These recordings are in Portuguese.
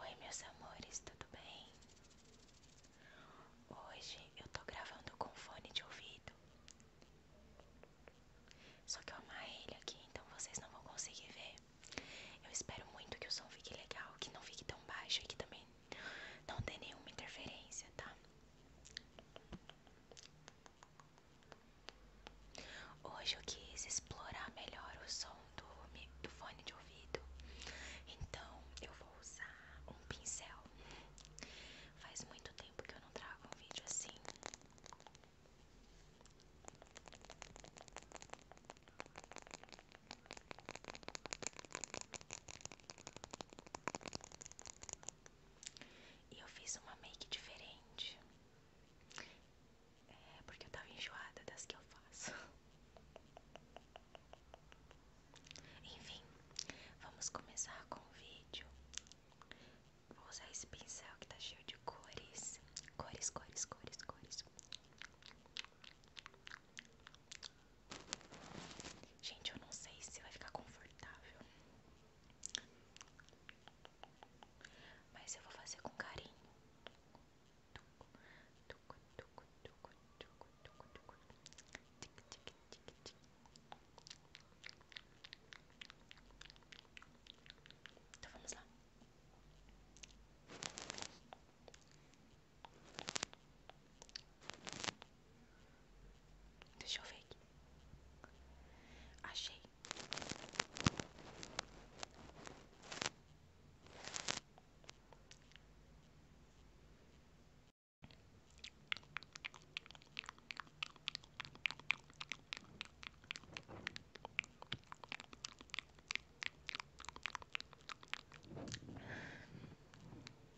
Oi, meus amores, tudo bem? Hoje eu tô gravando com fone de ouvido. Só que eu amarrei ele aqui, então vocês não vão conseguir ver. Eu espero muito que o som fique legal, que não fique tão baixo e que também não tenha nenhuma interferência, tá? Hoje eu quis explorar melhor o som do, do fone de ouvido, então eu vou usar um pincel. Faz muito tempo que eu não trago um vídeo assim. E eu fiz uma make diferente. É porque eu tava enjoada das que eu faço. Enfim, vamos começar com o vídeo. Vou usar esse pincel que tá cheio de cores. Cores, cores, cores, cores. Gente, eu não sei se vai ficar confortável. Mas eu vou fazer com carinho. Então vamos lá. Deixa eu ver aqui. Achei.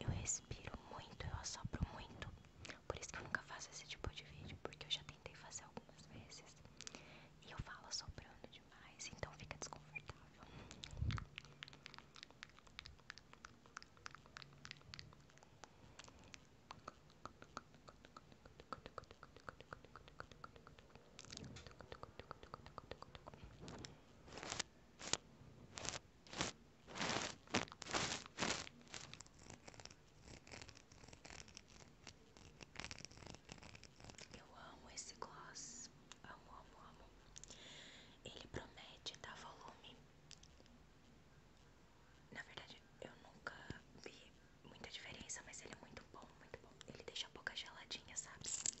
Eu respiro muito, eu assopro muito. Por isso que eu nunca faço esse tipo de vídeo, porque eu já tentei fazer algumas vezes. E eu falo assoprando de demais, então fica desconfortável. Eu amo esse gloss, amo, amo, amo. Ele promete dar volume. Na verdade, eu nunca vi muita diferença, mas ele é muito bom, muito bom. Ele deixa a boca geladinha, sabe? Hum.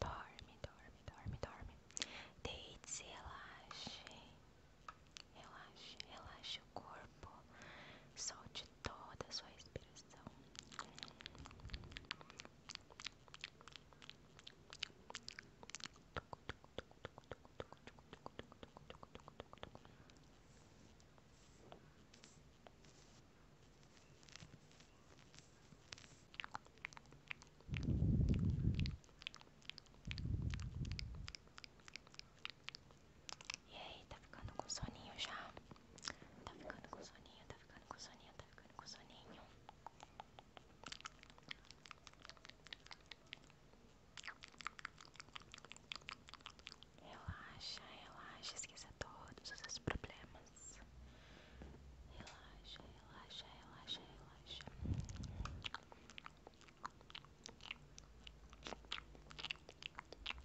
Dorme, dorme, dorme, dorme. Deite-se, relaxe. Relaxe, relaxe o corpo. Solte toda a sua respiração. E aí, tá ficando com soninho já? Tá ficando com soninho, tá ficando com soninho, tá ficando com soninho. Relaxa, relaxa, esqueça todos os seus problemas. Relaxa, relaxa, relaxa, relaxa. relaxa, relaxa, relaxa, relaxa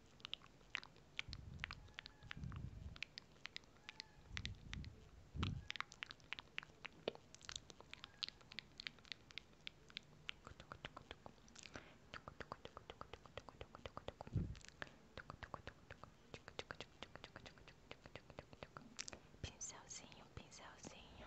Pincelzinho, pincelzinho.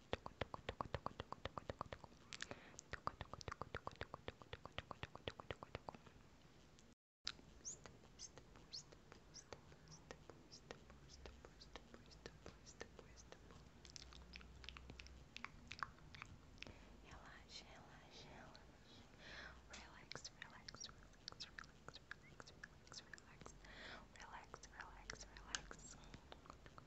Relaxa, relaxa, relaxa. Relax, relax, relax, relax, relax, relax, relax. Relax, relax, relax.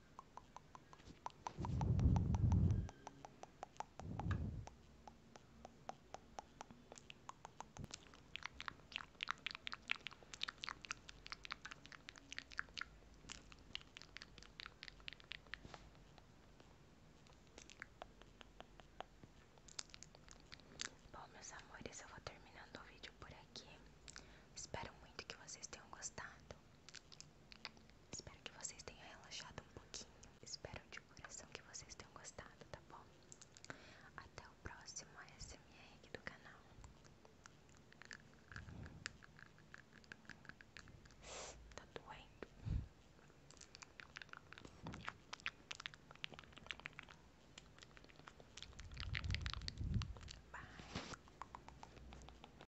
Bom, meus amores, eu vou terminando o vídeo por aqui. Espero muito que vocês tenham gostado. Espero que vocês tenham relaxado um pouquinho. Espero de coração que vocês tenham gostado, tá bom? Até o próximo ASMR aqui do canal. Tá doendo. Bye.